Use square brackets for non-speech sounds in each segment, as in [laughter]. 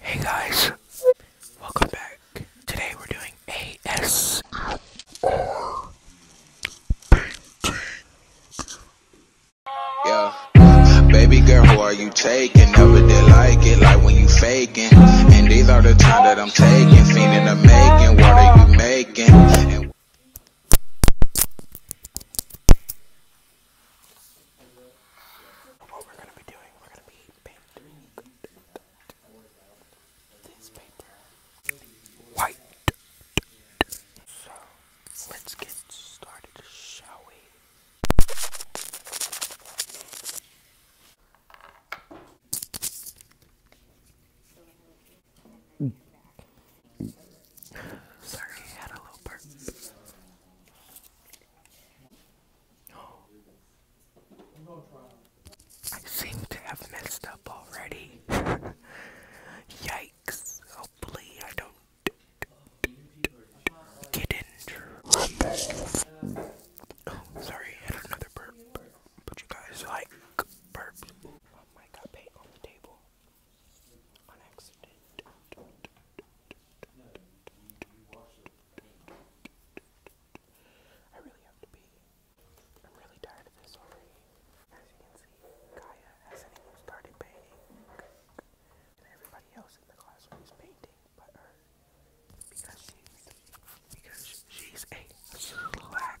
Hey guys, welcome back. Today we're doing ASMR Yeah, baby girl, who are you taking? Never did like it, like when you faking. And these are the time that I'm taking, feeling making. What are you making? What we're gonna be doing, we're gonna be painting this paper white. So let's get started, shall we? Sorry, I had a little burp. [gasps] I seem to have messed up already. [laughs] Yikes. Hopefully I don't get injured. Oh, sorry, another burp. But you guys like burps. Oh I really have to pee. I'm really tired of this already. As you can see, Kaya hasn't even started painting. And everybody else in the classroom is painting but her. because she's a slacker.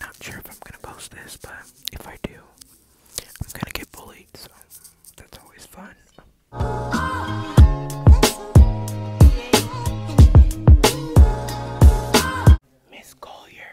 Not sure if I'm gonna post this, but if I do, I'm gonna get bullied, so that's always fun. Miss Collier,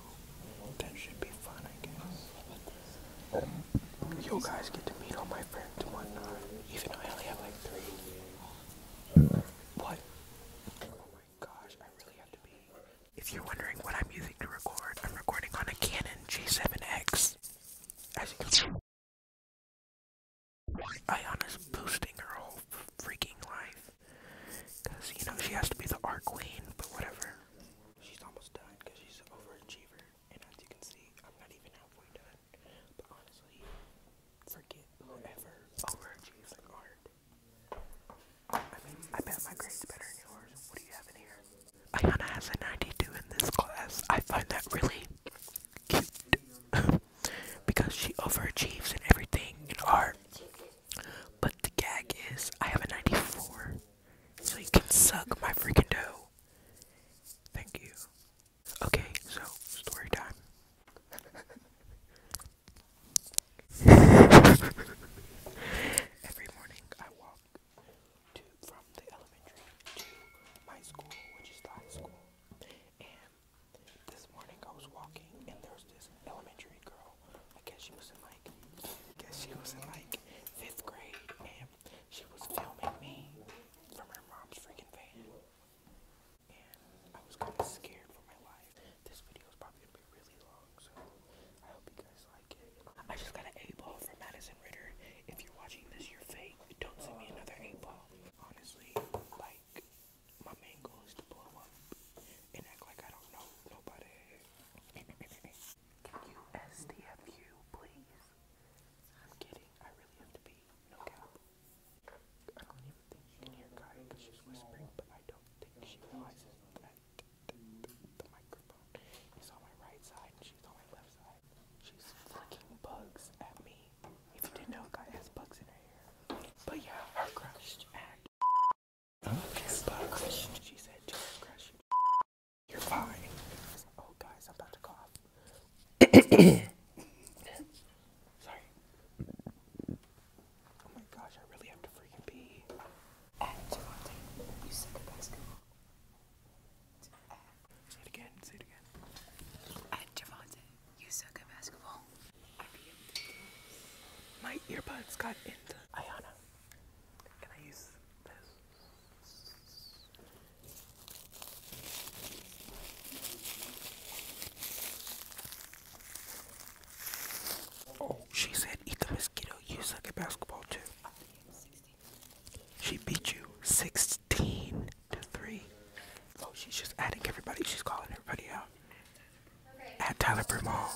that should be fun, I guess. You guys get to meet all my friends and whatnot, even I only have like three. What? Oh my gosh, I really have to be. If you're wondering what I'm using to record, I'm recording on a Canon G7X. As boosting her whole freaking life. Because, you know, she has to be the art queen, but whatever. She's almost done because she's an overachiever. And as you can see, I'm not even halfway done. But honestly, forget whoever overachieves like art. I mean, I bet my grade's better than yours. What do you have in here? Ayana has a 92 in this class. I find that really cute [laughs] because she overachieves in everything in art. But the gag is, I have a 94, so you can suck my freaking dough. Thank you. Okay, so story time. [laughs] Every morning I walk to from the elementary to my school, which is high school. And this morning I was walking and there this elementary girl I guess she was in like, guess she was in like fifth grade, and she was filming me from her mom's freaking van, and I was kind of scared for my life. This video is probably gonna be really long, so I hope you guys like it. I just got an eight ball from Madison Ritter. If you're watching this, you're fake. Don't send me another eight ball. Honestly, like. My main goal is to blow up and act like I don't know nobody. Can you SDFU, please? I'm kidding. I really have to be. No cap. I don't even think you can hear Kai because she's whispering, but I don't think she realizes that the, the, the microphone is on my right side and she's on my left side. She's flicking bugs at me. If you didn't know, Kai has bugs in her hair. But yeah, her crush act Okay, but she said just you. are fine. Oh guys, I'm about to cough. [coughs] Sorry. Oh my gosh, I really have to freaking pee. And Javante, you said the basketball. Say it again, say it again. And Javante, you suck at basketball. My earbuds got into Ayana. Can I use this? Oh, she said eat the mosquito. You suck at basketball too. She beat you 16 to 3. Oh, she's just adding everybody. She's calling everybody out at Tyler Bermal.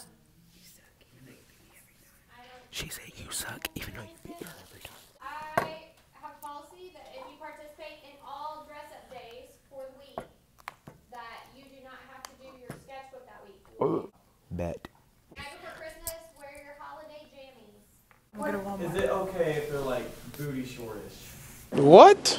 She said, You suck, even though you beat her every time. I have a policy that if you participate in all dress up days for the week, that you do not have to do your sketchbook that week. bet. Is it okay if they're like booty shortish? What?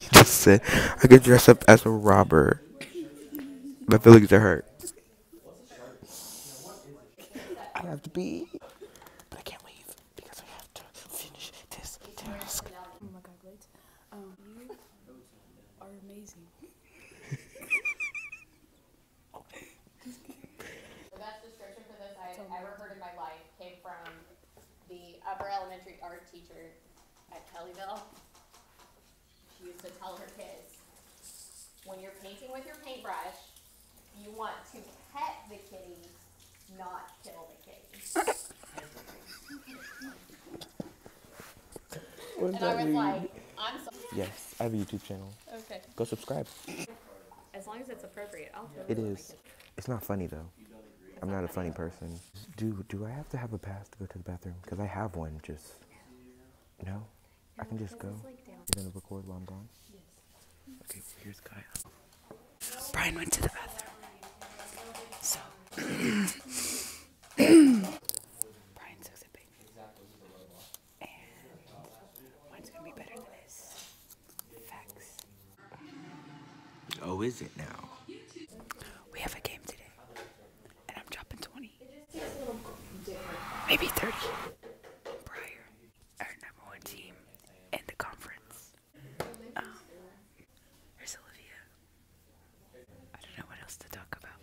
he just said, I could dress up as a robber. My feelings are hurt. I have to be, but I can't leave because I have to finish this task. Oh my god, wait. Um, you are amazing. [laughs] the best description for this I have ever heard in my life came from the upper elementary art teacher at Kellyville. She used to tell her kids, when you're painting with your paintbrush, you want to pet the kitty, not kill the kitty. and I mean? Yes, I have a YouTube channel. Okay. Go subscribe. As long as it's appropriate, I'll totally It is. It's not funny though. I'm not, a funny person. Do do I have to have a pass to go to the bathroom? Because I have one. Just no. I can just go. You're gonna record while I'm gone. Yes. Okay. here's Kyle. Brian went to the bathroom. So. [coughs] Brian sucks Oh, is it now? We have a game today, and I'm dropping 20. Maybe 30. Briar, our number one team in the conference. Um, here's Olivia. I don't know what else to talk about.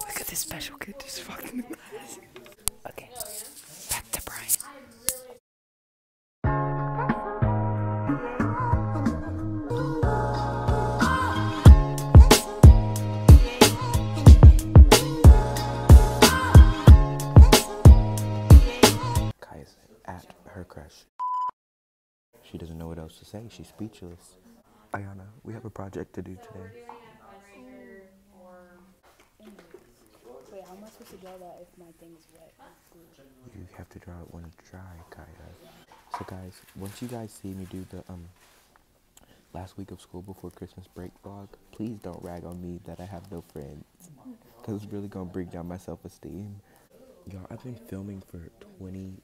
Look at this special kid just fucking the class. Okay. Back to Brian. Kaya's at her crush. She doesn't know what else to say. She's speechless. Ayana, we have a project to do today. Wait, how am I supposed to draw that if my thing's wet? You have to draw it when it's dry, Kaya. So guys, once you guys see me do the um last week of school before Christmas break vlog, please don't rag on me that I have no friends. Cause it's really gonna bring down my self-esteem. Y'all, I've been filming for 20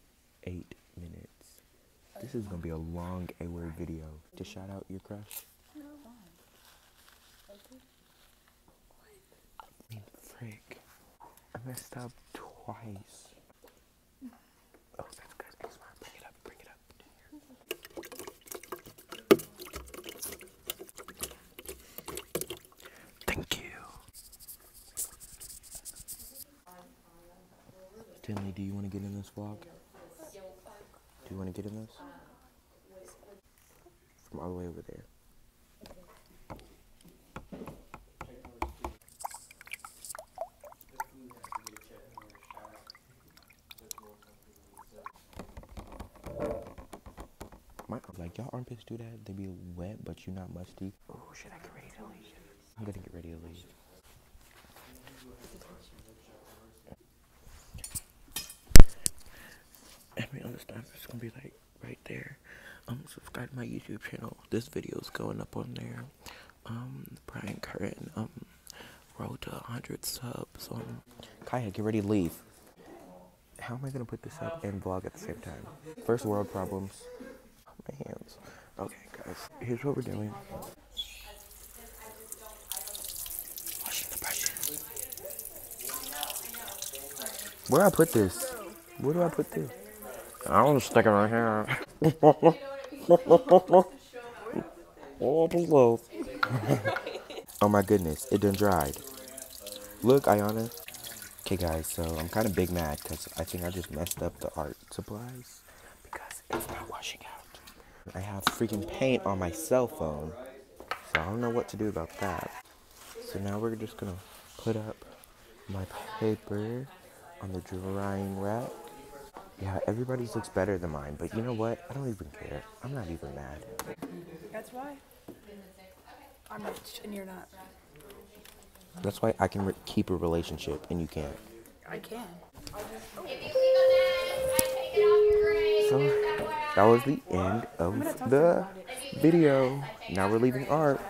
eight minutes. This is gonna be a long A-word video. To shout out your crush. No. I messed up twice. Oh, that's good. bring it up. Bring it up. Thank you. Timmy, do you want to get in this vlog? Do you want to get in this? From all the way over there. My, like, y'all armpits do that? They be wet, but you're not musty. Oh, should I get ready to I'm gonna get ready to leave. I mean, on this it's gonna be like right there. Um, subscribe to my YouTube channel. This video is going up on there. Um, Brian Curran, um, road to 100 subs on. Kaya, get ready to leave. How am I gonna put this up and vlog at the same time? First world problems. My hands. Okay, guys, here's what we're doing. Where do I put this? Where do I put this? I was not right here. oh my goodness, it done dried. Look, Ayana. Okay guys, so I'm kind of big mad because I think I just messed up the art supplies because it's not washing out. I have freaking paint on my cell phone, so I don't know what to do about that. So now we're just going to put up my paper on the drying rack. Yeah, everybody's looks better than mine, but you know what? I don't even care. I'm not even mad. That's why. I'm rich and you're not. That's why I can keep a relationship and you can't. I can. So that was the end of the video. Now we're leaving art.